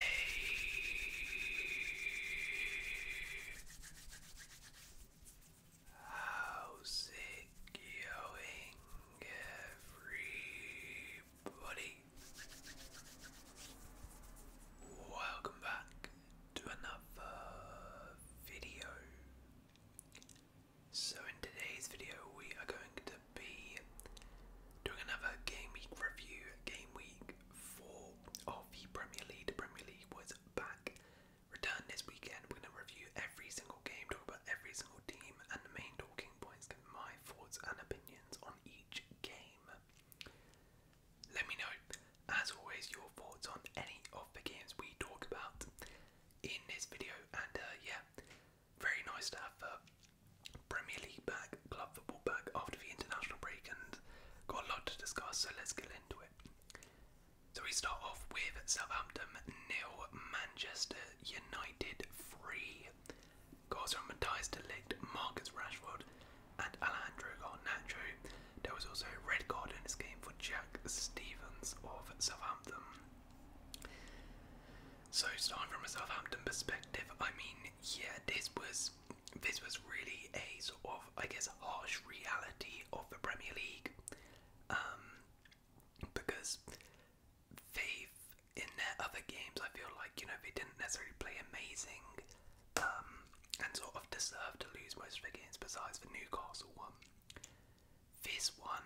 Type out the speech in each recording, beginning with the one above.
How's it going, everybody? Welcome back to another video. So, in today's video, we are going to be doing another Game Week review. Game Week four of the Premier League. The Premier League was back. Return this weekend. We're going to review every single game, talk about every single team, and the main talking points, my thoughts and opinions on each game. Let me know, as always, your thoughts on any of the games we talk about in this video. And uh, yeah, very nice to uh, Premier League back, club football back after the international break, and got a lot to discuss, so let's get into it. So we start off with Southampton nil, Manchester United three. Goals from Matthias de Ligt, Marcus Rashford, and Alejandro Garnacho. There was also a red card in this game for Jack Stevens of Southampton. So starting from a Southampton perspective, I mean, yeah, this was this was really a sort of, I guess, harsh reality of the Premier League um, because they in their other games, I feel like, you know, they didn't necessarily play amazing um, and sort of deserve to lose most of the games besides the Newcastle one. This one,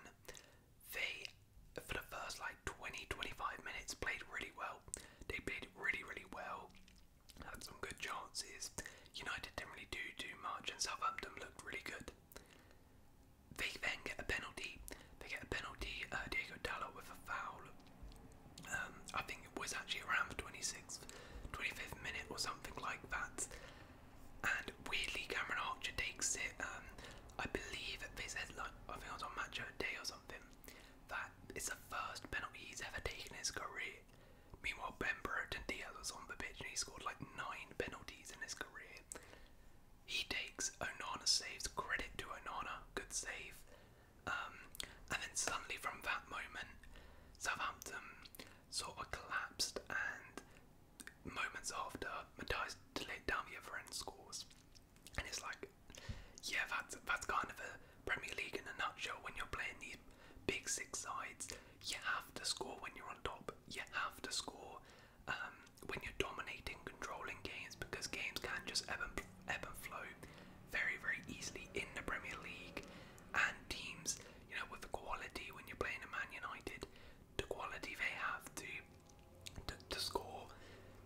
they, for the first like 20 25 minutes, played really well. They played really, really well, had some good chances. United didn't really do too much, and Southampton looked really good. They then get a penalty. They get a penalty, uh, Diego Dalot with a foul. Um, I think it was actually around the 26th, 25th minute or something like that. And weirdly, Cameron Archer takes it. Um, I believe they said like I think it was on Match Day or something something. That is the first penalty he's ever taken in his career. Meanwhile, Ben Brereton Diaz was on the pitch and he scored like nine penalties in his career. He takes Onana saves credit to Onana, good save. Um, and then suddenly from that moment, Southampton sort of collapsed and moments after Matthias Delit down the other scores. And it's like, yeah, that's that's kind of a Premier League in a nutshell. When you're playing these big six sides, you have to score when you're on top. You have to score um, when you're dominating, controlling games because games can just ebb and, ebb and flow very, very easily in the Premier League. And teams, you know, with the quality when you're playing a Man United, the quality they have to to, to score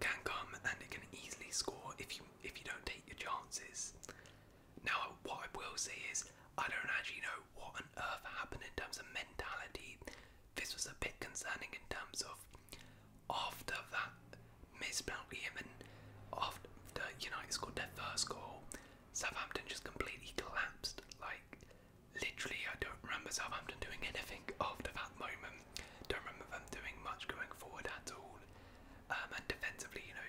can come and it can easily score if you if you don't take your chances. Now, what I will say is, I don't actually know what on earth happened in terms of mentality. This was a bit concerning in terms of after that missed penalty and after United scored their first goal, Southampton just completely collapsed. Like, literally, I don't remember Southampton doing anything after that moment. Um, don't remember them doing much going forward at all. Um, and defensively, you know,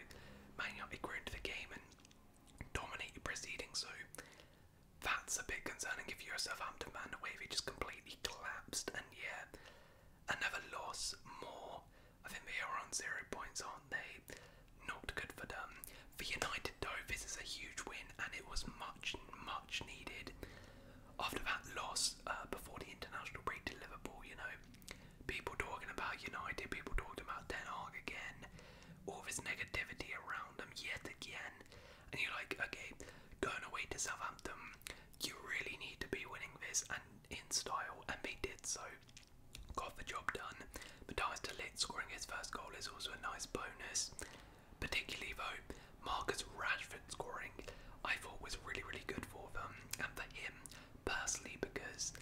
Man United grew into the game and dominated proceedings. So that's a bit concerning if you're a Southampton man. The way they just completely collapsed. And yeah, another loss more. I think they are on zero points, aren't they? Not good for them. For United, though, this is a huge win and it was much, much needed after that loss uh, before the international break to Liverpool, you know, people talking about United, people talking about Denmark again, all this negativity around them yet again, and you're like, okay, going away to Southampton, you really need to be winning this and in style, and they did so. Got the job done. Matthias De Ligt scoring his first goal is also a nice bonus. Particularly though, Marcus Rashford different scoring I thought was really, really good for them and for him personally because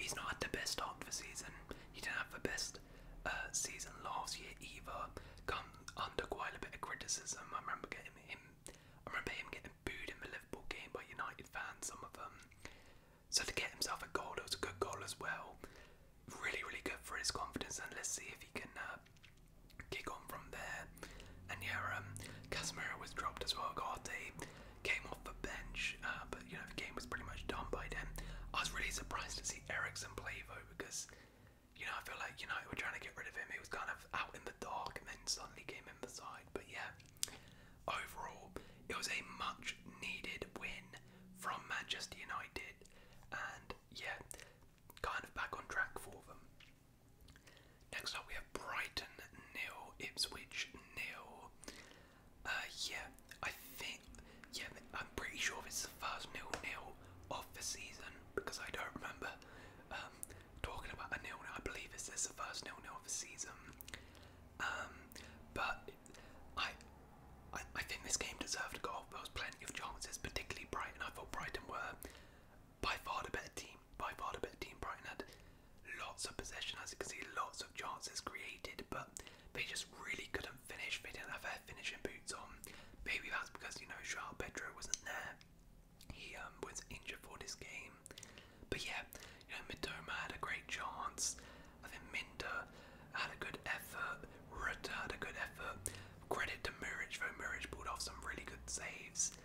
he's not had the best start of the season. He didn't have the best uh, season last year either. Come under quite a bit of criticism. I remember getting him. I remember him getting booed in the Liverpool game by United fans. Some of them. So to get himself a goal, it was a good goal as well. Really, really good for his confidence, and let's see if he can uh, kick on from there. And yeah, um, Casemiro was dropped as well. Garte came off the bench, uh, but you know the game was pretty much done by then. I was really surprised to see Ericsson play though because you know I feel like you know we're trying to get rid of him. He was kind of out in the dark and then suddenly came in the side. But yeah, overall it was a much needed win from Manchester United, and yeah, kind of back on track for them. Next up, we have Brighton nil, Ipswich nil. Uh, yeah, I think, yeah, I'm pretty sure this is the first nil nil of the season because I don't remember um, talking about a nil nil. I believe this is the first nil nil of the season. Um, but I, I, I think this game deserved a goal. There was plenty of chances, particularly Brighton. I thought Brighton were by far the better team. By far the better team. Brighton had lots of possession, as you can see, lots of chances created, but they just really couldn't finish. They didn't have their finishing boots on. Maybe that's because you know Joao Pedro wasn't there. He um, was injured for this game. But yeah, you know Mitoma had a great chance. I think Minda had a good effort. Rutter had a good effort. Credit to Murich though. Murich pulled off some really good saves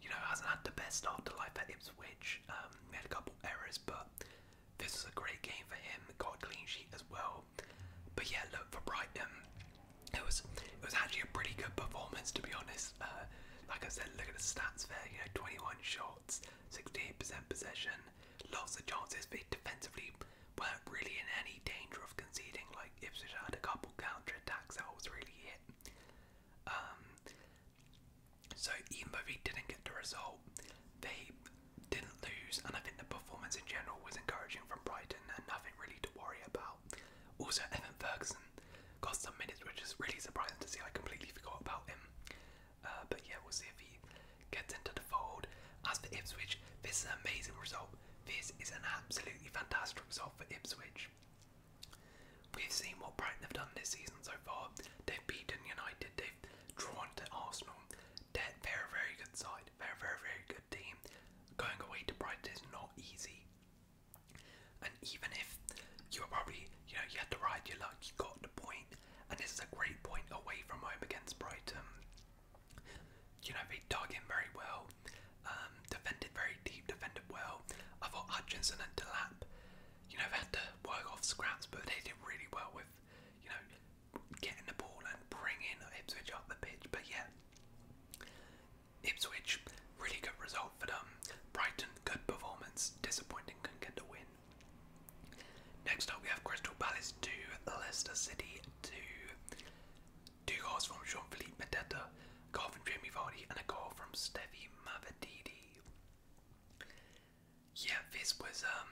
you know, hasn't had the best start to life at Ipswich. Um, he had a couple errors, but this was a great game for him. Got a clean sheet as well. But yeah, look for Brighton. It was it was actually a pretty good performance to be honest. Uh, like I said, look at the stats there. You know, 21 shots, 68% possession, lots of chances, but defensively weren't really in any danger of conceding. Like Ipswich had a couple counter attacks that was really it. Um, so even though they didn't get the result, they didn't lose, and I think the performance in general was encouraging from Brighton and nothing really to worry about. Also, Evan Ferguson got some minutes, which is really surprising to see. I completely forgot about him. Uh, but yeah, we'll see if he gets into the fold. As for Ipswich, this is an amazing result. This is an absolutely fantastic result for Ipswich. We've seen what Brighton have done this season so far. They've beaten United, they've drawn to Arsenal. They're, they're a very good side, they're a very, very good team. Going away to Brighton is not easy. And even if you were probably, you know, you had to ride your luck, you got the point, and this is a great point away from home against Brighton. You know, they dug in very well. Um, defended very deep, defended well. I thought Hutchinson and Delap, you know, they had to work off scraps, but they did really well with, you know, getting the ball and bringing Ipswich up the pitch. But yeah, Ipswich, really good result for them. Brighton, good performance. Disappointing, couldn't get the win. Next up, we have Crystal Palace 2, Leicester City 2. Two goals from Jean-Philippe Medetta, a goal from Jamie Vardy, and a goal from Stevie Mavadidi. Yeah, this was um,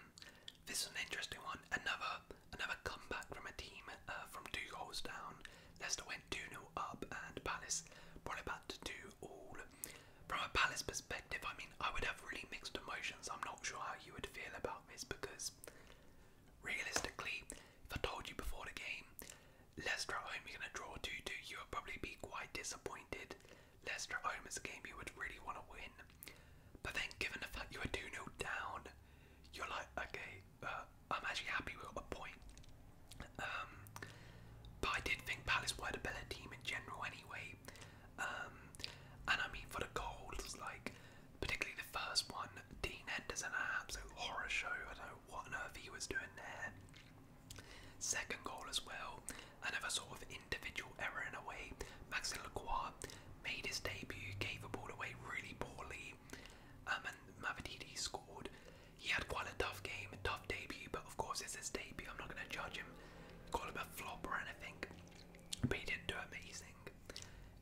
this was an interesting one. Another another comeback from a team uh, from two goals down. Leicester went 2-0 up, and Palace brought it to two all. From a Palace perspective, I mean, I would have really mixed emotions. I'm not sure how you would feel about this because, realistically, if I told you before the game Leicester at home, you're going to draw 2 2. You will probably be quite disappointed. Leicester home is a game you would really want to win. But then, given the fact you were 2 0 down, you're like, okay, uh, I'm actually happy we got a point. Um, but I did think Palace were a better team in general anyway. Um, and I mean, for the goals, like, particularly the first one, Dean Henderson, an absolute horror show. I do what on earth he was doing there. Second goal as well, another sort of individual error in a way. Maxi Lacroix made his debut, gave the ball away really poorly, um, and Mavadidi scored. He had quite a tough game, a tough debut, but of course it's his debut. I'm not going to judge him, call him a flop or anything, but he did do amazing.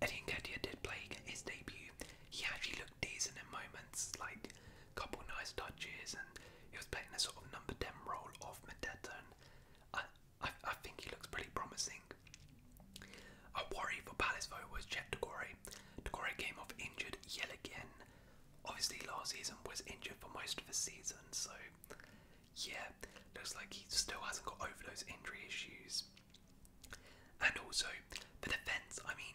Eddie Nketiah did play his debut. He actually looked decent in moments, like couple nice touches, and he was playing a sort of number 10 role off Medeta, and I, I, think he looks pretty promising. A worry for Palace though was Chet Decore. Decore came off injured yet again. Obviously, last season was injured for most of the season, so yeah, looks like he still hasn't got over those injury issues. And also, the defence, I mean,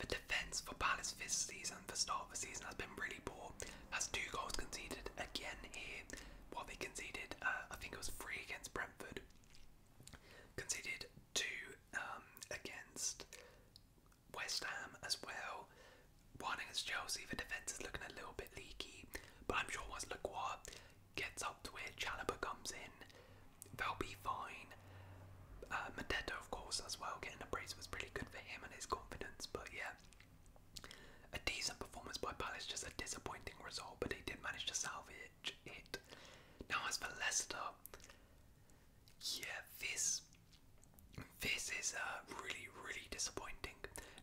the defence for Palace this season, the start of the season, has been really poor. Has two goals conceded again here. While they conceded, uh, I think it was three against Brentford. Conceded two um, against West Ham as well. One against Chelsea, the defence is looking a little bit leaky, but I'm sure once Lacroix gets up to where Chalaba comes in, they'll be fine. Uh, of course, as well, getting a brace was pretty good for him and his confidence, but yeah. A decent performance by Palace, just a disappointing result, but he did manage to salvage it. Now, as for Leicester, yeah, this this is uh, really, really disappointing.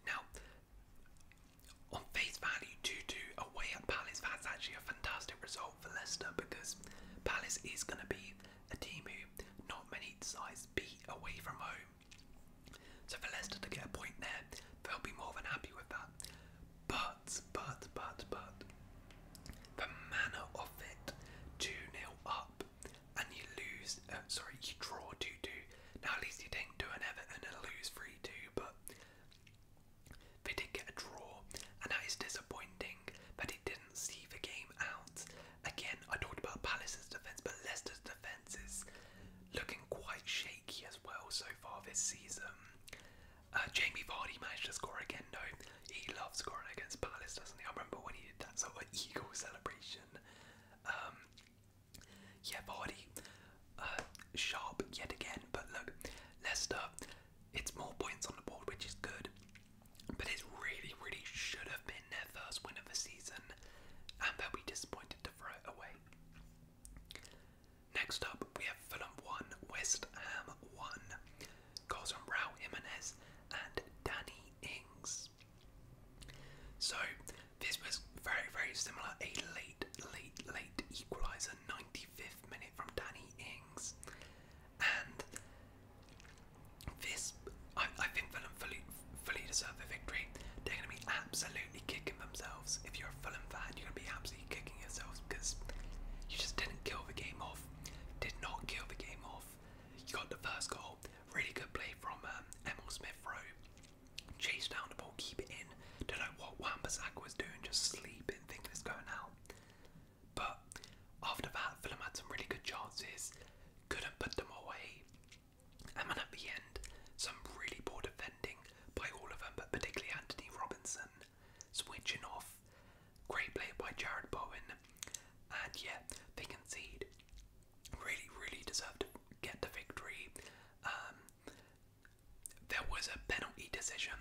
Now, on face value, 2 2 away at Palace, that's actually a fantastic result for Leicester because Palace is going to be a team who not many sides beat away from home. So for Leicester to get a point there, they'll be more than happy with that. But, but, but, but, the manner of it, 2 0 up, and you lose, uh, sorry, you draw 2 2. Now, at least you didn't do an Everton and lose 3 2, but they did get a draw, and that is disappointing, but he didn't see the game out. Again, I talked about Palace's defence, but Leicester's defence is looking quite shaky as well so far this season. Uh, Jamie Vardy managed to score again, though. He loves scoring against Palace, doesn't he? I remember when he did that sort of eagle celebration. Um, yeah, Vardy, uh, sharp yet again, but look, Leicester, it's more points on the board, which is good. But it really, really should have been their first win of the season, and they'll be disappointed to throw it away. Next up, we have Fulham 1, West Ham 1. Goals from Raul Jimenez and Danny Ings. So, this was very, very similar. A late, late, late equaliser, 90 65th minute from Danny Ings. And this, I, think Fulham fully, fully deserve a victory. They're going to be absolutely kicking themselves. If you're a Fulham fan, you're going to be absolutely kicking yourselves because you just didn't kill the game off. Did not kill the game off. You got the first goal. Really good play from um, Emil Smith Rowe. Chase down the ball, keep it in. Don't know what Wan Bissaka was doing, just sleeping, thinking it's going out. But after that, Fulham had some really good chances, couldn't put them away. And then at the end, some really poor defending by all of them, but particularly Anthony Robinson switching off. Great play by Jared Bowen. And yet they concede. Really, really deserved to get the victory. Um, there was a penalty decision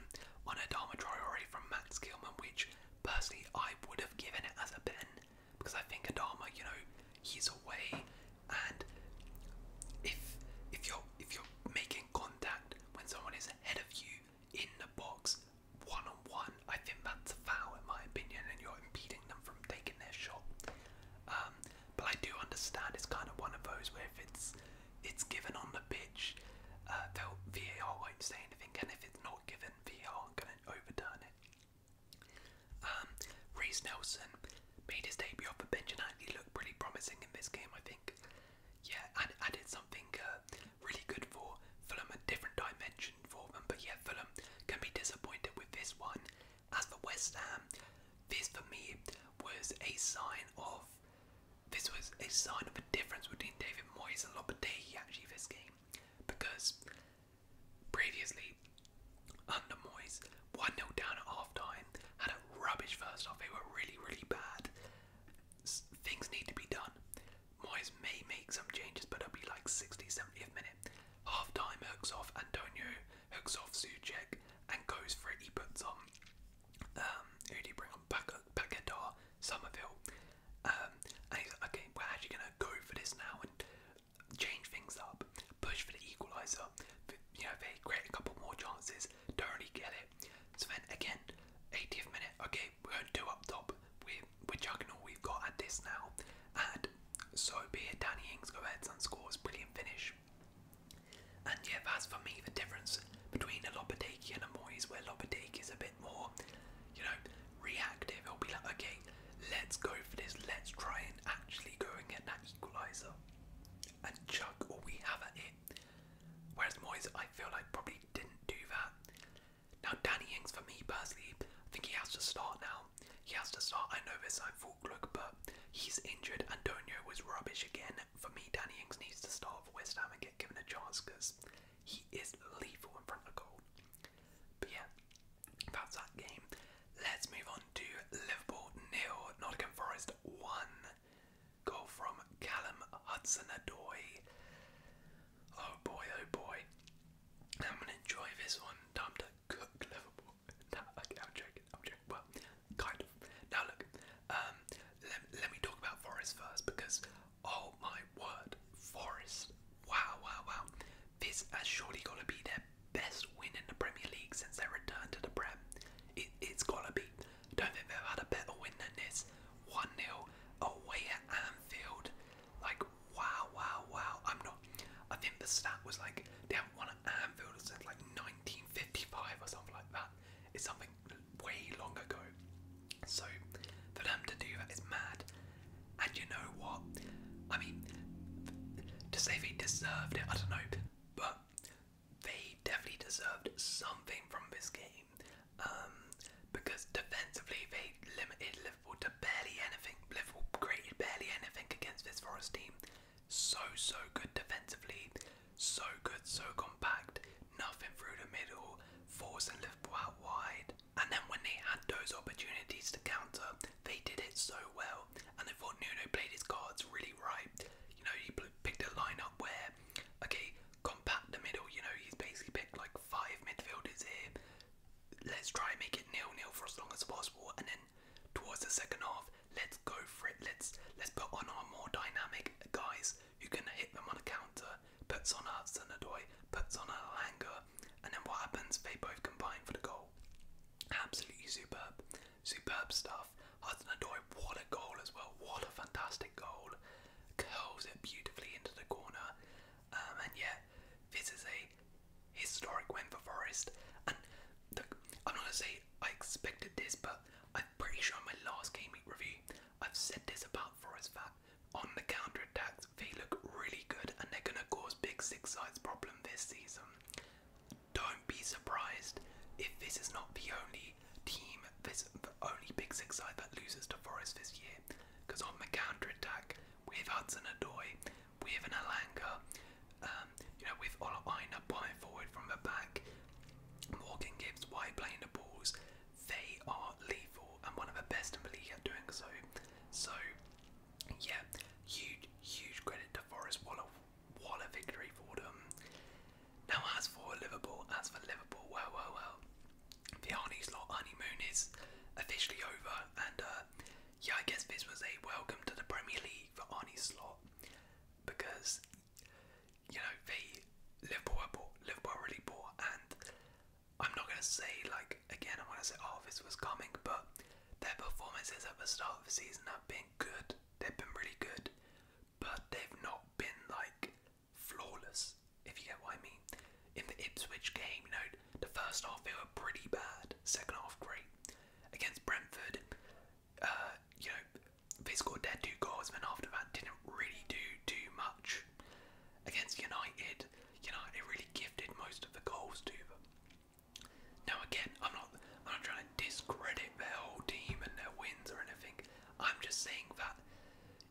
on Adama Traore from Max Gilman, which Personally, I would have given it as a pen because I think Adama, you know, he's away, and if if you're if you're making contact when someone is ahead of you in the box one on one, I think that's a foul in my opinion, and you're impeding them from taking their shot. Um, but I do understand it's kind of one of those where if it's it's given on the pitch, uh, VAR won't say and if it's not given, VR can overturn it. Um, Nelson made his debut off the bench and actually promising in this game, I think. Yeah, and added something uh, really good for Fulham, a different dimension for them. But yeah, Fulham can be disappointed with this one. As for West Ham, this for me was a sign of this was a sign of a difference between David Moyes and Lopetegui actually this game, because previously under Moyes, 1 0 down at half time, had a rubbish first half. They were really, really bad. things need to be done. Moyes may make some changes, but it'll be like 60, 70th minute. Half time hooks off Antonio, hooks off Suchek, and goes for it. He puts on um, who bring on? Pac Paquetar, Somerville. Um, and he's like, are actually going to go for this now and change things up, push for the equaliser. You know, create a couple more chances, don't really get it. So then again, 80th minute, okay, we're going up top. We're, we're chugging all we've got at this now. And so be it, Danny Ings goes ahead and scores, brilliant finish. And yeah, that's for me the difference between a Lopetegui and a Moyes, where Lopetegui is a bit more, you know, reactive. He'll be like, okay, let's go for this. Let's try and actually go and get that equaliser and chuck all we have at it. Whereas Moyes, I feel like probably didn't do that. Now, Danny Ings, for me personally, I think he has to start now. He has to start. I know this, I thought, look, but he's injured. Antonio was rubbish again. For me, Danny Ings needs to start for West Ham and get given a chance because he is lethal in front of goal. But yeah, that's that game. Let's move on to Liverpool nil, Nottingham Forest one. Goal from Callum Hudson-Odoi. Oh boy, oh boy. I'm gonna enjoy this one. Time to cook Liverpool. No, okay, I'm joking. I'm joking. Well, kind of. Now look, um, let me talk about Forest first because Oh my word, Forest. Wow, wow, wow. This has surely got to be their best win in the Premier League since their return to the Prem. It, it's got to be. Don't think they've had a better win than this. 1 0 away at Anfield. Like, wow, wow, wow. I'm not. I think the stat was like they haven't won at Anfield since like 1955 or something like that. It's something way long ago. So for them to do that is mad. And you know what? I mean, to say they deserved it, I don't know, but they definitely deserved something from this game. Um, because defensively, they limited Liverpool to barely anything. Liverpool created barely anything against this Forest team. So, so good defensively. So good, so compact. Nothing through the middle. Force and Liverpool out wide. And then when they had those opportunities to counter, they did it so well. And I thought Nuno played his cards really right. You know, he picked a lineup where, okay, compact the middle. You know, he's basically picked like five midfielders here. Let's try and make it nil-nil for as long as possible, and then towards the second half, let's go for it. Let's let's put on our more dynamic guys. You can hit them on a counter, puts on a Sanadoy, puts on a hanger. and then what happens? They both combine for the goal. Absolutely superb. Superb stuff. Hasanadoy, what a goal as well. What a fantastic goal. Curves it beautifully into the corner. Um, and yeah, this is a historic win for Forest. And I'm not going to say I expected this, but I'm pretty sure in my last game week review, I've said this about Forest that on the counter attack, they look really good and they're going to cause big six sides problem this season. Don't be surprised if this is not the only team, this the only big six side that loses to Forest this year. Because on the counter attack, with Hudson Adoy, with an Alanga, um, you know, with Olaina buying forward from the back, Morgan Gibbs wide playing the balls, they are lethal and one of the best in the league at doing so. So, yeah, huge, huge credit to Forest Waller. What a victory for them. Now, as for Liverpool, as for Liverpool, well, well, well, the Arnie's lot honeymoon is officially over, and uh, yeah, I guess this was a welcome to the Premier League for Arnie Slot because you know, Liverpool Liverpool really poor, and I'm not gonna say like again. I'm gonna say oh this was coming, but their performances at the start of the season have been good. They've been really good, but they've not been like flawless. If you get what I mean. In the Ipswich game, you know, the first half they were pretty bad, second half great. Against Brentford, uh, you know, they scored their two goals, and after that didn't really do too much. Against United, United really gifted most of the goals to them. Now again, I'm not I'm not trying to discredit their whole team and their wins or anything. I'm just saying that,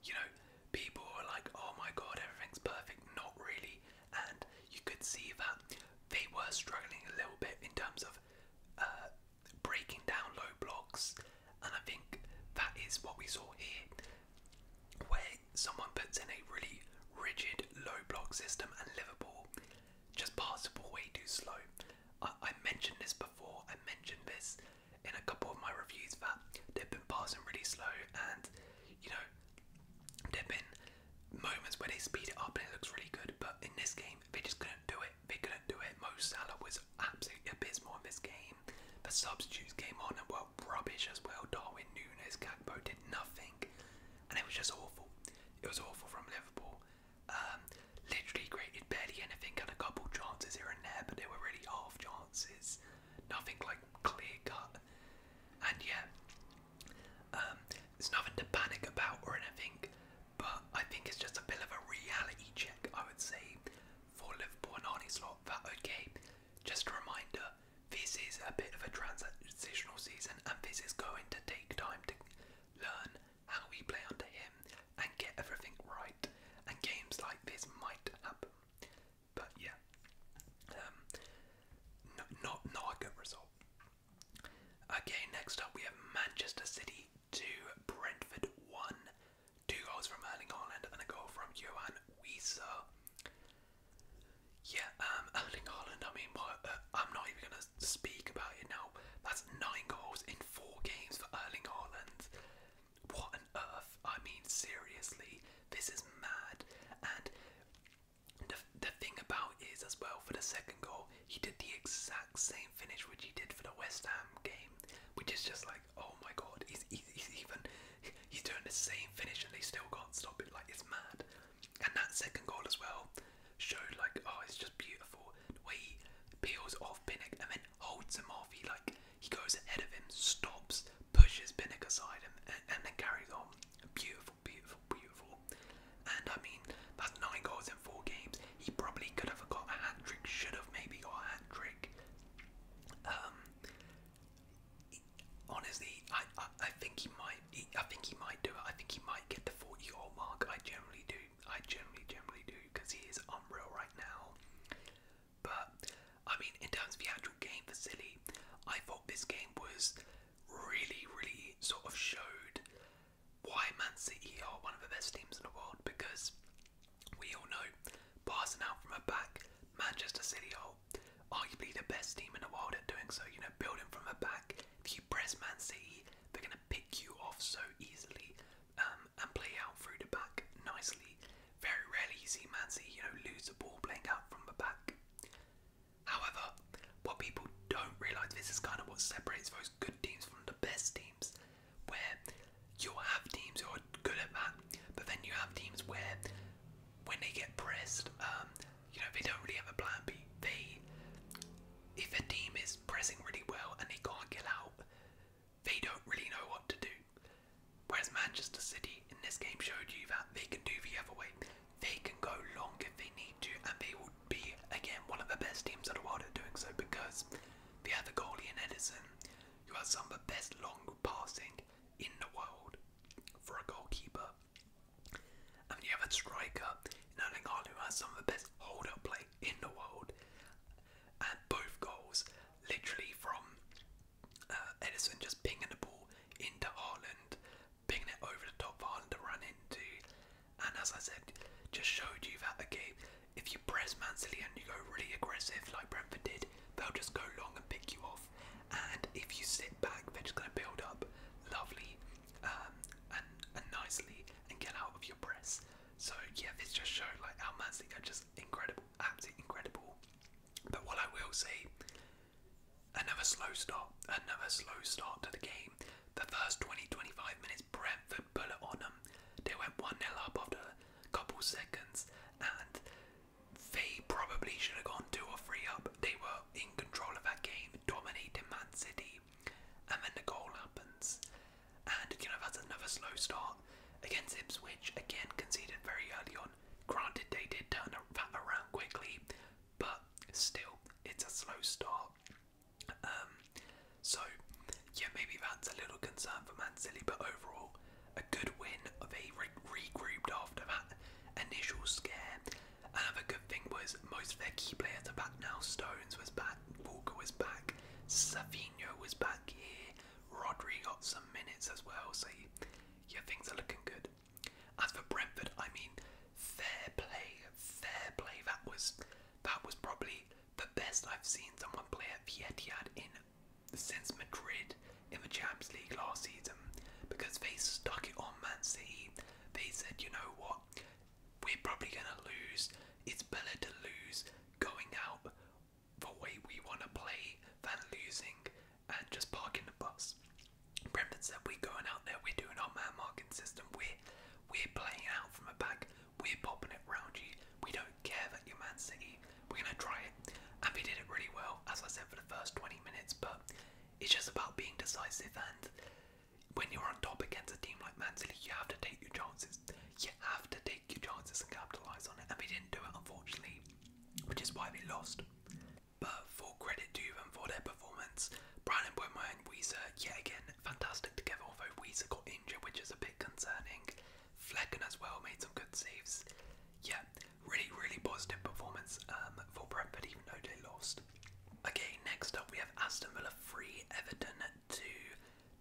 you know, people are like, oh my god, everything's perfect. Not really. And you could see that they were struggling a little bit in terms of uh, breaking down low blocks and I think that is what we saw here, where someone puts in a really rigid low block system and Liverpool just passable way too slow. I, mentioned this before, I mentioned this in a couple of my reviews that they've been passing really slow and you know there've been moments where they speed it up and it looks really good but in this game they are just gonna do it. They are gonna do it. Mo Salah was absolutely abysmal in this game. The substitutes came on and were rubbish as well. Darwin Nunes, Gakpo did nothing, and it was just awful. It was awful from Liverpool. Um, literally created barely anything, had a couple chances here and there, but they were really half chances. Nothing like clear cut. And yeah, um, there's nothing to panic about or anything, but I think it's just a bit of a reality check, I would say, for Liverpool and Arnie slot. That okay? Just a reminder, this is a bit of a transitional season, and this is going to take time to learn how we play under him and get everything right. And games like this might happen, but yeah, um, not not a good result. Okay, next up we have Manchester City two, Brentford one. Two goals from Erling Haaland and then a goal from Johan Wiesa. Yeah, um, Erling Haaland, I mean, what, uh, I'm not even going to speak about it now. That's nine goals in four games for Erling Haaland. What on earth? I mean, seriously, this is mad. And the, the thing about is, as well, for the second goal, he did the exact same finish which he did for the West Ham game, which is just like like, oh my god, he's, he's, he's even he's doing the same finish and they still can't stop it. Like it's mad. And that second goal as well showed like, oh, it's just beautiful the way he peels off Pinnock and then holds him off. He like he goes ahead of him, stops, pushes Pinnock aside, and, and, and then carries on. Beautiful, beautiful, beautiful. And I mean, that's nine goals in four games. He probably could have got a hat trick, should have maybe got a hat trick. Um, honestly, I, I think he might. I think he might do it. I think he might get the forty goal mark. I generally do. I generally generally do because he is unreal right now. But I mean, in terms of the actual game for Silly, I thought this game was really, really sort of showed why Man City are one of the best teams in the world because we all know, passing out from a back, Manchester City are arguably the best team in the world at doing so. You know, building from a back. If you press Man City, they're going to pick you off so easily um, and play out through the back nicely. Very rarely see Man City, you know, lose the ball playing out from the back. However, what people don't realise, this is kind of what separates those good teams from the best teams games where you'll have teams who are good at that, but then you have teams where when they get pressed, um, you know, they don't really have a plan B. They if a team is pressing really well and they can't get out, they don't really know what to do. Whereas Manchester City in this game showed you that they can do the other way. They can go long if they need to, and they will be, again, one of the best teams in the world at doing so because they have the goalie in Edison, you has some of the best long passing in the world for a goalkeeper. And you have a striker in Erling Haaland who has some of the best hold up play in the world. And both goals, literally from uh, Edison just pinging the ball into Ireland, pinging it over the top of Ireland to run into. And as I said, just showed you that, the game if you press Mansili and you go really aggressive like Brentford did, they'll just go long and pick you off. And if you sit back, they're just going to build up lovely um, and, and nicely and get out of your press. So yeah, this just showed like how Mansili are just incredible, absolutely incredible. But what I will say, another slow start, another slow start to the game. The first 20-25 minutes, Brentford with a on them. They went 1 0 up after a couple seconds, and they probably should have gone 2 or 3 up. They were in control of that game, dominating Man City, and then the goal happens. And you know, that's another slow start against Ipswich, again conceded very early on. Granted, they did turn around quickly, but still, it's a slow start. Um, so yeah, maybe that's a little concern for Man City, but overall, a good win. of re regrouped after that initial scare. Another good thing was most of their key players are back now. Stones was back, Walker was back, Savino was back here, Rodri got some minutes as well, so yeah, things are looking good. As for Brentford, I mean, fair play, fair play. That was that was probably the best I've seen someone play at the Etihad in since Madrid in the Champions League last season because they stuck it on Man City. They said, you know what, we're probably going to lose. It's better to lose going out the way we want to play than losing and just parking the bus. Brentford said, we're going out there, we're doing our man marking system, we're, we're playing out from the back. We're popping it round you. We don't care that you're Man City. We're gonna try it, and we did it really well, as I said for the first 20 minutes. But it's just about being decisive, and when you're on top against a team like Man City, you have to take your chances. You have to take your chances and capitalize on it, and we didn't do it, unfortunately, which is why we lost. But for credit to them for their performance. Brian Buemo and Weezer, yet again, fantastic together, although Weezer got injured, which is a bit concerning. Flecken as well made some good saves. Yeah, really, really positive performance um, for Brentford, even though they lost. Okay, next up we have Aston Villa 3, Everton 2.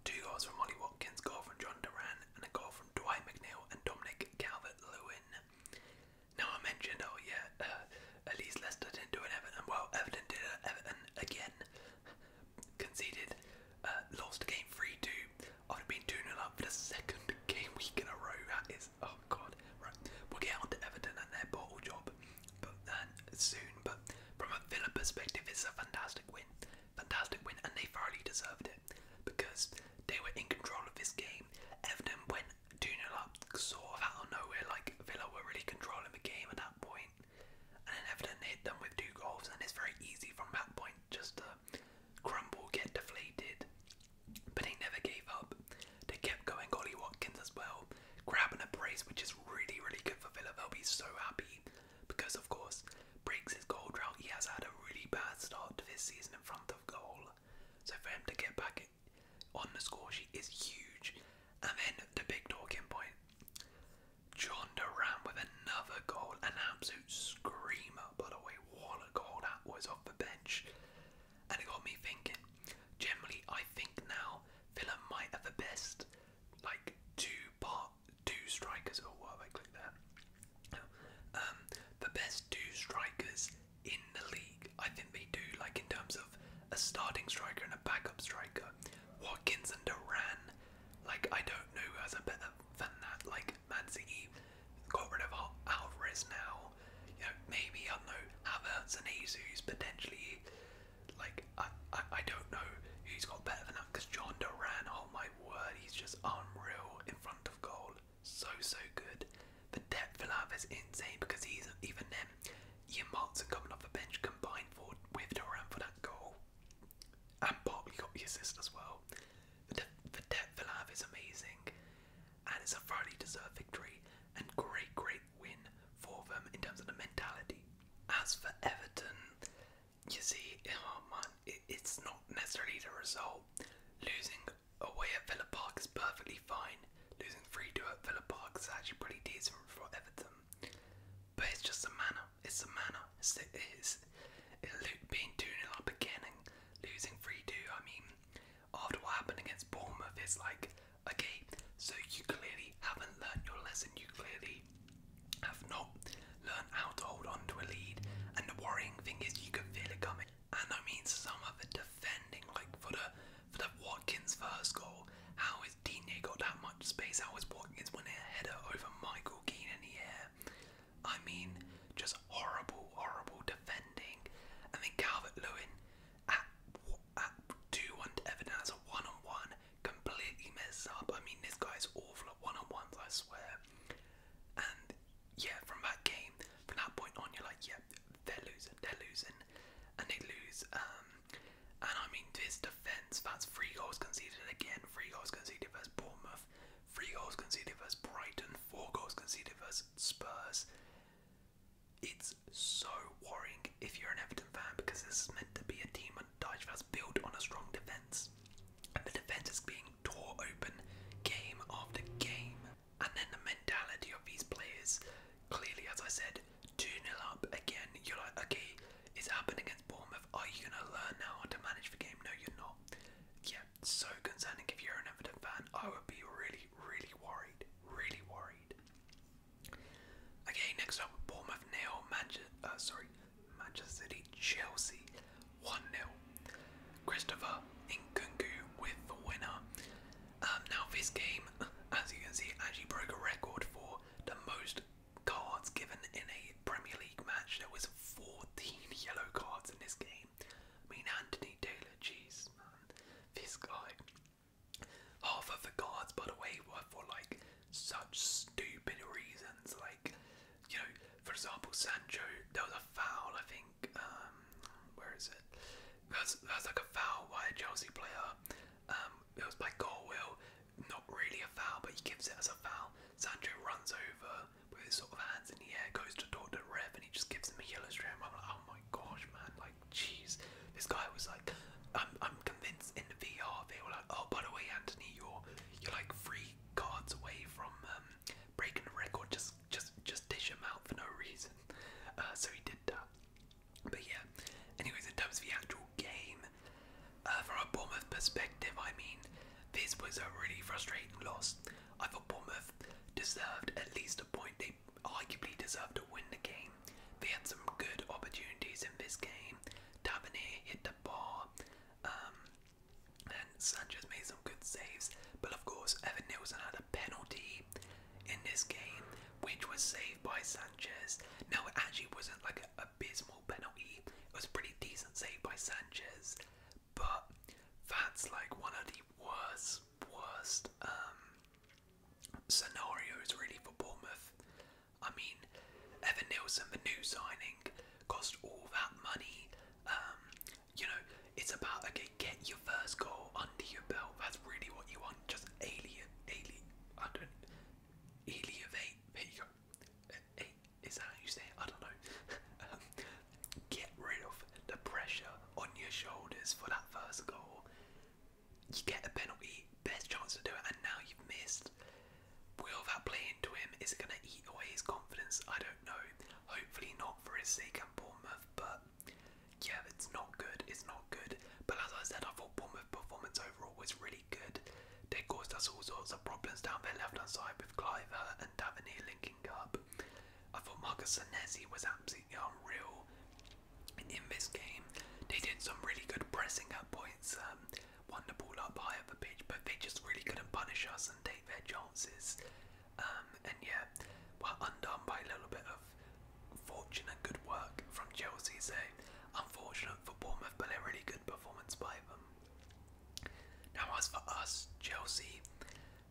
Two goals from Molly Watkins, goal from John Duran, and a goal from Dwight McNeil and Dominic Calvert Lewin. Now I mentioned, oh yeah, at uh, least Leicester didn't do an Everton. Well, Everton did an Everton again conceded, uh, lost game 3-2 after being 2 0 up for the second game week in a row. That is, oh god. Right, we'll get on to Everton and their bottle job but then soon. But from a Villa perspective, it's a fantastic win. Fantastic win, and they thoroughly deserved it because they were in control of this game. Everton went 2 0 up, sort of out of nowhere, like Villa were really controlling the game at that And then Everton hit them with two goals, and it's very easy from that point point just crumble, get deflated. But they never gave up. They kept going. Ollie Watkins as well, grabbing a brace, which is really, really good for Villa. They'll be so happy because, of course, breaks his goal drought. He has had a really bad start to this season in front of goal. So for him to get back on the scoresheet is huge. And then the big talking point John Duran with another goal, an absolute screamer, by the way. What goal that was off the bench. And it got me thinking. Generally, I think now Villa might have the best, like, two part, two strikers. Oh, I clicked there. Um, the best two strikers in the league. I think they do, like, in terms of a starting striker and a backup striker. Watkins and Duran like, I don't know who has a better than that. Like, Man City got rid of Alvarez now. You know, maybe, I don't know, Havertz and Jesus potentially. Like, I, I, don't know who's got better than that because John Duran, oh my word, he's just unreal in front of goal. So, so good. The depth for love is insane because he's even then. Ian Martin coming off the bench combined for, with Duran for that goal and partly got the assist as well. The, the depth they'll is amazing, and it's a thoroughly deserved victory and great, great win for them in terms of the mentality. As for Everton, you see, oh it's not necessarily the result. Losing away at Villa Park is perfectly fine. Losing 3 2 at Villa Park is actually pretty decent for Everton. But it's just a matter. It's a matter. It's the, it's, it being 2 0 up again beginning, losing 3 2. I mean, after what happened against Bournemouth, it's like, okay, so you clearly haven't learned your lesson. You clearly have not learned how to hold on to a lead. And the worrying thing is, you can feel it coming. And I means some of the defending, like for the for the Watkins first goal, how has Digne got that much space? How is Watkins winning a header over Michael Keane in the air? I mean, just horrible, horrible defending. And mean, Calvert Lewin at, at 2 1 to as a 1 on 1 completely messes up. I mean, this guy's awful at 1 on 1s, I swear. And yeah, from that game, from that point on, you're like, yeah, they're losing, they're losing, and they lose. Um, and I mean, his defence, that's three goals conceded again, three goals conceded versus Bournemouth. Three goals conceded versus Brighton, four goals conceded versus Spurs. It's so worrying if you're an Everton fan because this is meant to be a team under Dyche that's built on a strong defence. And the defence is being torn open game after game. And then the mentality of these players, clearly, as I said, 2 nil up again. You're like, okay, it's happening against Bournemouth. Are you going to learn now how to manage the game? No, you're not. Yeah, so concerning. If you're an Everton fan, I would be really, really worried. Really worried. Okay, next up, Bournemouth nil, Manchester. Uh, sorry, Manchester City, Chelsea, one 0 Christopher Inkungu with the winner. Um, now this game, as you can see, actually broke a record for the most cards given in a Premier League match. There was 14 yellow cards in this game. I mean, Anthony Taylor, jeez, man, this guy. Half of the cards, by the way, were for like such stupid reasons. Like, you know, for example, Sancho, there was a foul, I think. Um, where is it? That's that's like a foul by a Chelsea player. Um, it was by Galwell, not really a foul, but he gives it as a foul. Sancho runs over with his sort of hands in the air, goes to talk to the and he just gives him a yellow straight. I'm like, oh my gosh, man, like, jeez. This guy was like, I'm, I'm convinced in the VR they were like, oh, by the way, Anthony, you're you're like three cards away from um, breaking the record. Just just just dish him out for no reason. Uh, so he did that. But yeah. Anyways, in terms of the actual game. Uh, from a Bournemouth perspective, I mean, this was a really frustrating loss. I thought Bournemouth deserved at least a point. They arguably deserved to win the game. They had some good opportunities in this game. Tavernier hit the bar, um, and Sanchez made some good saves. But of course, Evan Nilsson had a penalty in this game, which was saved by Sanchez. Now, it actually wasn't like a abysmal penalty. It was a pretty decent save by Sanchez, but that's like one of the worst, worst um, scenarios really for Bournemouth. I mean, Evan Nilsson, the new signing, cost all that money. Um, you know, it's about okay, get your first goal under your belt. That's really what you want. Just alien, alien, I don't, alleviate. There you go. A is that how you say it? I don't know. Um, get rid of the pressure on your shoulders for that first goal. You get a penalty, best chance to do it, and now you've missed. Will that play into him? Is it going to eat away his confidence? I don't know. Hopefully not for his sake and Bournemouth, but yeah, it's not good. It's not good. But as I said, I thought Bournemouth performance overall was really they caused us all sorts of problems down their left hand side with Cliver and Davenir linking up. I thought Marcus Senesi was absolutely unreal in this game. They did some really good pressing at points, um, won the ball up high at the pitch, but they just really couldn't punish us and take their chances. Um, and yeah, were undone by a little bit of fortunate good work from Chelsea, so unfortunate for Bournemouth, but a really good performance by them. Now, as for us, Chelsea,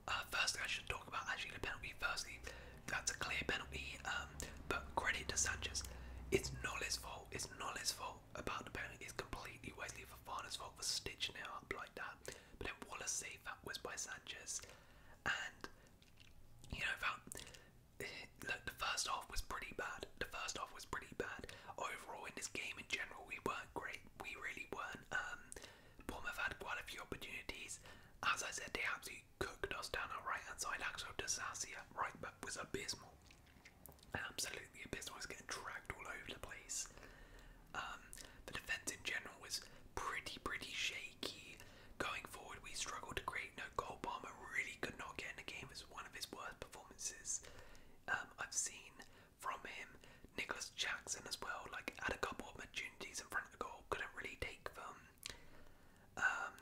uh, Firstly, I should talk about actually the penalty. Firstly, that's a clear penalty, um, but credit to Sanchez. It's not his fault. It's not his fault about the penalty. It's completely wasteful. Wesley Fofana's fault for stitching it up like that. But then Wallace save that was by Sanchez, and you know that look, the first half was pretty bad. The first half pretty bad. Overall, in this game in general, we weren't great. We really weren't. Um, Bournemouth had quite a few opportunities. As I said, they absolutely cooked us down our right hand side. Axel Desassia, right back, was abysmal. Absolutely abysmal. was getting dragged all over the place. Um, the defence in general was pretty, pretty shaky. Going forward, we struggled to create no goal. Palmer really could not get in the game. It was one of his worst performances. Um, I've seen from him. Nicholas Jackson as well, like had a couple of opportunities in front of the goal, couldn't really take them. Um,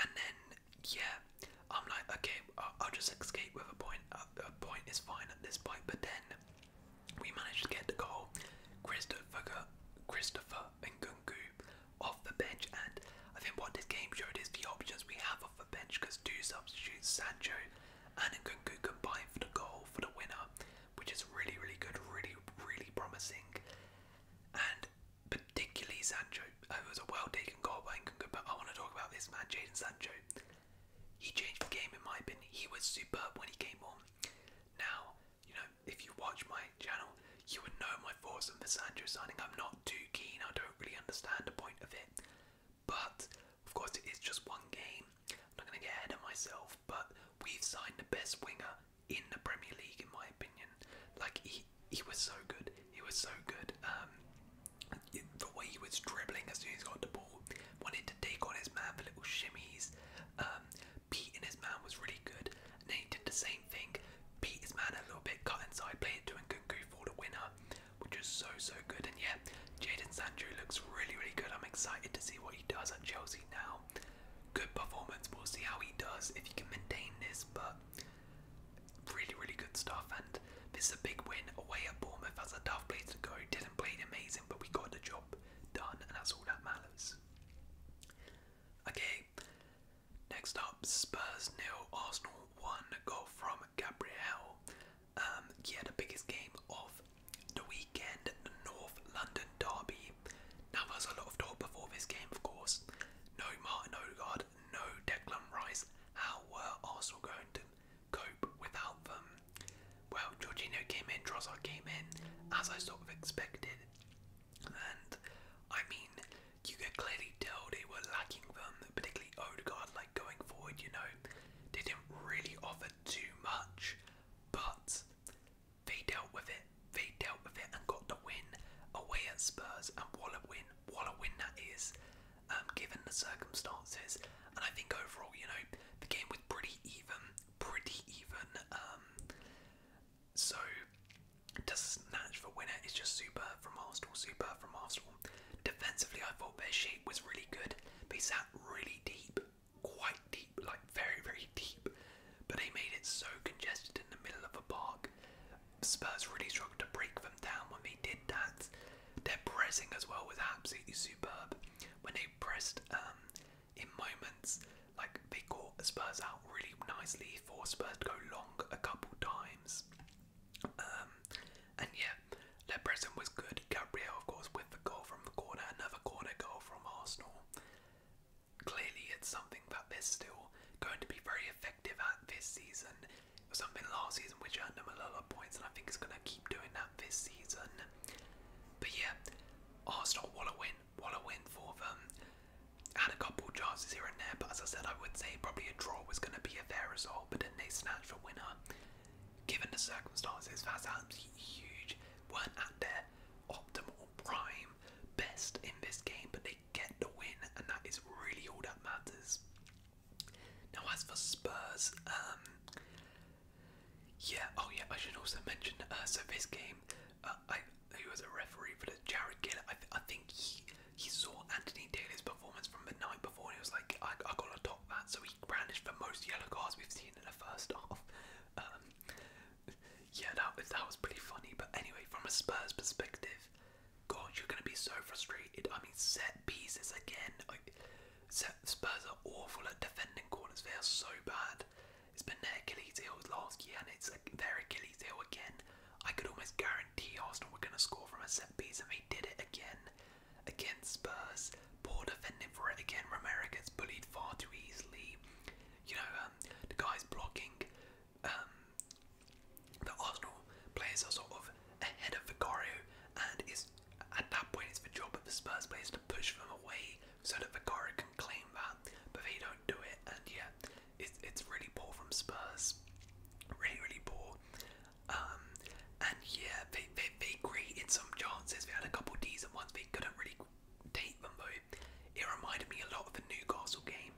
and then yeah, I'm like, okay, I'll, just escape with a point. A, point is fine at this point. But then we managed to get the goal. Christopher Christopher and Gungu off the bench, and I think what this game showed is the options we have off the bench because do substitute Sancho and Nkunku, combined for the goal for the winner, which is really, really good, really, really promising. And particularly Sancho, it was a well taken goal by Nkunku, but I want to talk about this man, Jaden Sancho. He changed the game, in my opinion. He was superb when he came on. Now, you know, if you watch my channel, you would know my thoughts on the Sancho signing. I'm not too keen, I don't really understand the point of it. But of course, it is just one game. I'm not going to get ahead of myself, but we've signed the best winger in the Premier League, in my opinion. Like he, he was so good. He was so good. Um, the way he was dribbling as soon as he got the ball, wanted to take on his man for little shimmies. Um, beating his man was really good. And then he did the same thing, beat his man a little bit, cut inside, played it to Nkunku for the winner which is so so good. And yeah, Jaden Sancho looks really really good. I'm excited to see what he does at Chelsea now. Good performance. We'll see how he does if he can maintain this. But really really good stuff. And this is a big win away at Bournemouth. That's a tough place to go. Didn't play amazing, but we got the job done, and that's all that matters. Okay, next up Spurs nil, Arsenal one goal from Gabriel. Um, yeah, the biggest game of the weekend, the North London derby. Now there was a lot of talk before this game, of course. No Martin Odegaard, no Declan Rice. How were Arsenal going to cope without them? Well, Georgino came in, Trossard came in, as I sort of expected. And I mean, you can clearly tell they were lacking them, particularly Odegaard, like going forward, you know. didn't really offer too much, but they dealt with it. They dealt with it and got the win away at Spurs, and what a win, what a win that is, um, given the circumstances. And I think overall, you know, the game was pretty even, pretty even. Um, so, to snatch the winner is just super from Arsenal, Super from Arsenal. Defensively, I thought their shape was really good. They sat really deep, quite deep, like very, very deep. But they made it so congested in the middle of the park. Spurs really struggled to break them down when they did that. Their pressing as well was absolutely superb. When they pressed um, in moments, like they caught Spurs out really nicely for Spurs to go long a couple times. Um, and yeah, Lebrezon was good. Gabriel, of course, with the goal from the corner, another corner goal from Arsenal. Clearly, it's something that they're still going to be very effective at this season. It was something last season which earned them a lot of points, and I think it's going to keep doing that this season. But yeah, Arsenal, what a win, what a win for them. Had a couple chances here and there, but as I said, I would say probably a draw was going to be a fair result but then they snatched a winner. Given the circumstances, that's absolutely huge. Weren't at their optimal prime best in this game, but they get the win, and that is really all that matters. Now, as for Spurs, um, yeah, oh yeah, I should also mention. Uh, so this game, uh, he was a referee for the Jared Gill. I think he he saw Anthony Taylor's performance from the night before he was like, I, I gotta top that. So he brandished the most yellow cards we've seen in the first half. Um, yeah, that, that was pretty funny. But anyway, from a Spurs perspective, God, you're gonna be so frustrated. I mean, set pieces again. Like, set, Spurs are awful at defending corners. They are so bad. It's been their Achilles heel last year, and it's like their Achilles heel again. I could almost guarantee Arsenal were going to score from a set piece, and they did it again against Spurs. Poor defending for it again. Romero gets bullied far too easily. You know, um, the guys blocking. Um, the Arsenal players are sort of ahead of Vicario, and it's at that point it's the job of the Spurs players to push them away so that Vicario can claim that, but they don't do it. And yeah, it's it's really poor from Spurs, really really poor. Um, and yeah, they, they, they created some chances. They had a couple decent ones. They couldn't really take them though. It reminded me a lot of the Newcastle game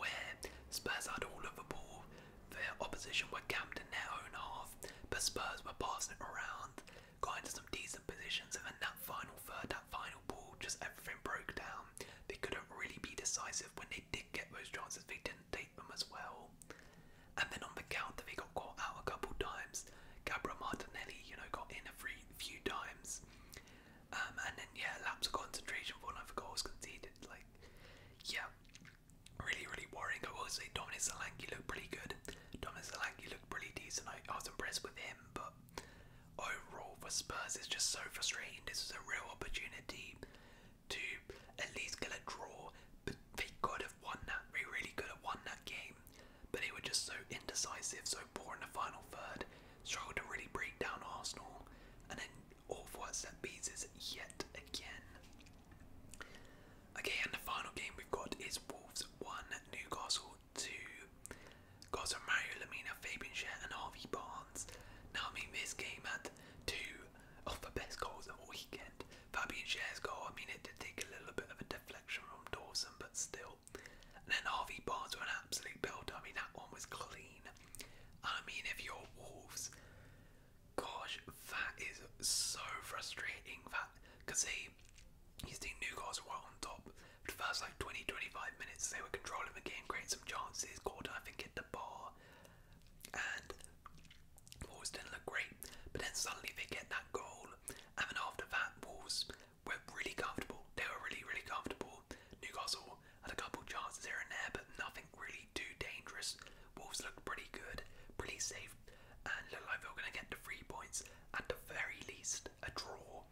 where Spurs had all of the ball. Their opposition were camped in their own half, but Spurs were passing it around, got into some decent positions, and then that final third, that final ball, just everything broke down. They couldn't really be decisive when they did get those chances. They didn't tape them as well. And then on the counter, they got caught out a couple times. Gabra Martinelli, you know, got in every few times. Um, and then, yeah, lapse of concentration for another goal was conceded. Like, yeah, really, really worrying. I will say Dominic Solanke looked pretty good. Dominic Solanke looked pretty decent. I, was impressed with him, but overall for Spurs, it's just so frustrating. This is a real opportunity to at least get a draw. But they could have won that. They really could have won that game. But they were just so indecisive, so poor in the final third. Struggled to really break down Arsenal. And then all that set pieces yet again. Okay, and the final game we've got is Wolves 1, Newcastle 2. Gods of Mario Lamina, Fabian Share, and Harvey Barnes. Now, I mean, this game at two of the best goals of the weekend. Fabian Cher's I mean, it did take a little bit of a deflection from Dawson, but still. And then Harvey Barnes were an absolute build. I mean, that one was clean. I mean, if you're Wolves, gosh, that is so frustrating. That because he, he's think New Guards were on top. For the first like 20, 25 minutes, they were controlling the game, creating some chances. Gordon, I think, hit the ball, and Wolves didn't look great, but then suddenly they get that goal, and then after that, Wolves were really comfortable. They were really, really comfortable. Newcastle had a couple chances here and there, but nothing really too dangerous. Wolves looked pretty good, pretty safe, and looked like they were going to get the three points, at the very least, a draw.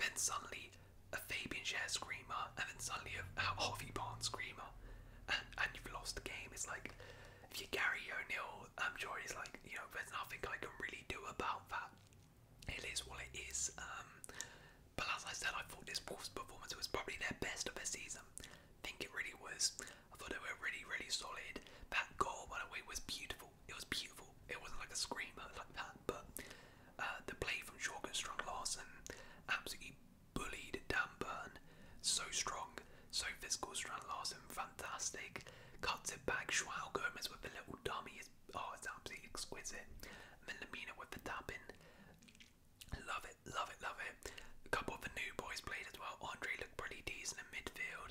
Then suddenly, a Fabian Share screamer, and then suddenly a Harvey Barnes screamer and, and you've lost the game. It's like if you Gary O'Neill, um, I'm sure he's like, you know, there's nothing I can really do about that. It is what it is. Um, but as I said, I thought this Wolves performance was probably their best of the season. I think it really was. I thought they were really, really solid. That goal, by the way, was beautiful. It was beautiful. It wasn't like a screamer like that, but uh, the play from Jorgen Strong Larsen absolutely bullied Dan Burn so strong, so physical. Strand Larson, fantastic. Cuts it back. Joao Gomez with the little dummy is oh, it's absolutely exquisite. And then Lamina with the tap in. Love it, love it, love it. A couple of the new boys played as well. Andre looked pretty decent in midfield.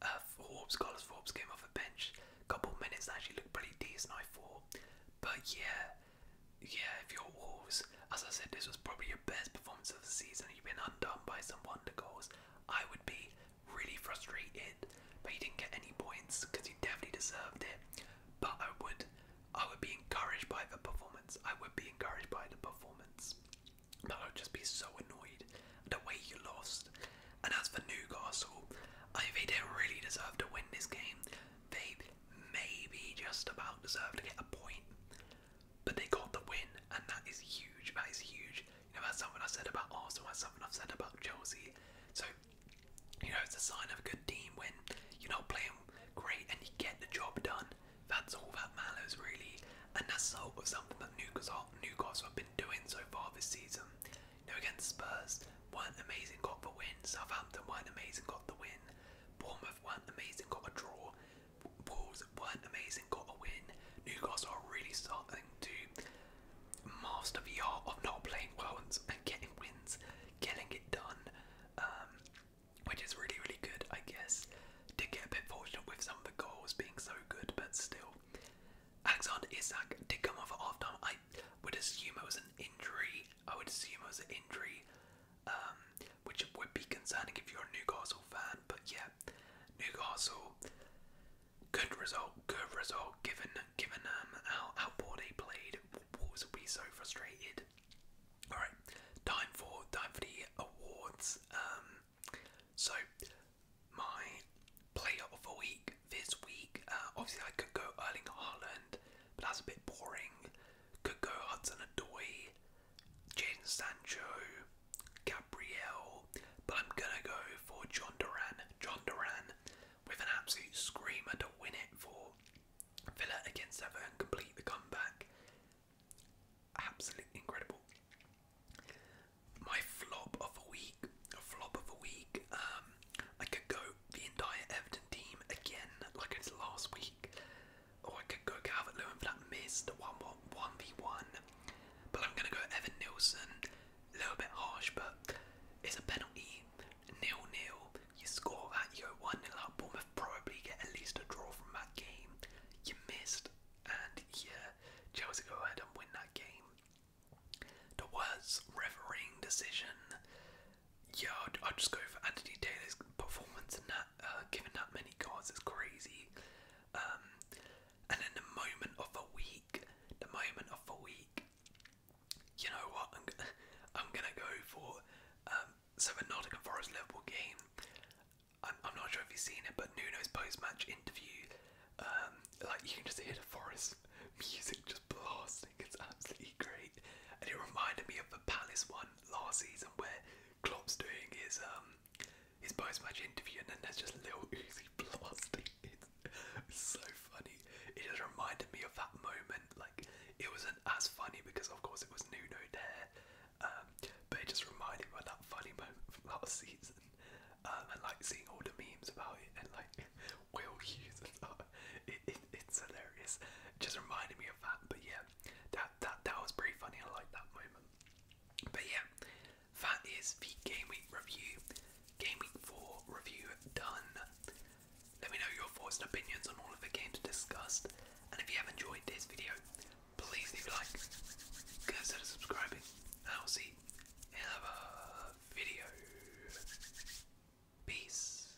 Uh, Forbes, Carlos Forbes came off the bench. A couple of minutes actually looked pretty decent, I thought. But yeah, yeah, if you're Wolves, as I said, this was probably your best performance of the season. You've been undone by some wonder goals. I would be really frustrated, but you didn't get any points because you definitely deserved it. But I would, I would be encouraged by the performance. I would be encouraged by the performance. But I would just be so annoyed at the way you lost. And as for Newcastle, I they really deserve to win this game. babe maybe just about deserve to get a point, but they got the win, and that is huge. That is huge. You know, that's something I said about Arsenal. That's something I've said about Chelsea. So, you know, it's a sign of a good team when you're not playing great and you get the job done. That's all that matters, really. And that's sort of something that Newcastle, Newcastle have been doing so far this season. You know, against Spurs, weren't amazing, got the win. Southampton weren't amazing, got the win weren't amazing, got a draw. Wolves weren't amazing, got a win. Newcastle really starting to master the art of not playing well and, getting wins, getting it done, um, which is really, really good, I guess. to get a bit fortunate with some of the goals being so good, but still. Alexander Isak did come off at half time. I would assume it was an injury. I would assume it was an injury. Um, which would be concerning if you're a Newcastle fan. But yeah, Newcastle, good result, good result. Given given um how how poor they played, Wolves will be so frustrated. All right, time for time for the awards. Um, so my player of the week this week. Uh, obviously, I could go Erling Haaland, but that's a bit boring could go Hudson Adoy, Jaden Sancho, Gabriel, but I'm gonna go for John Duran. John Duran with an absolute screamer to win it for Villa against Everton, complete the comeback. Absolutely incredible. My flop of a week, a flop of a week. Um, I could go the entire Everton team again, like it was last week. Oh, I could go Calvert Lewin for that miss, the 1 1v1. But I'm going to go Evan Nilsson. A little bit harsh, but it's a penalty. Nil nil. You score that, you go 1 nil up. Bournemouth probably get at least a draw from that game. You missed, and yeah, Chelsea go ahead and win that game. The worst refereeing decision yeah, I'd, just go for Anthony Taylor's performance and that, uh, Giving up many cards is crazy. Um, and in the moment of a week, the moment of a week, you know what, I'm, g I'm gonna go for, um, so the Nottingham Forest Liverpool game, I'm, I'm not sure if you've seen it, but Nuno's post-match interview, um, like you can just hear the Forest music just blasting, it's absolutely great, and it reminded me of the Palace one last season where Klopp's doing his um his post-match interview and then there's just little Uzi blasting. It's so funny. It just reminded me of that moment. Like it wasn't as funny because of course it was Nuno there, um, but it just reminded me of that funny moment from last season. Um, and like seeing all the memes about it and like Will Hughes it's hilarious. just reminded me of that. But yeah, that that that was pretty funny. I like that moment. But yeah, that is the game week review, game week four review done. Let me know your thoughts and opinions on all of the games discussed, and if you have enjoyed this video, please leave a like, consider subscribing, and I'll see you in another video. Peace.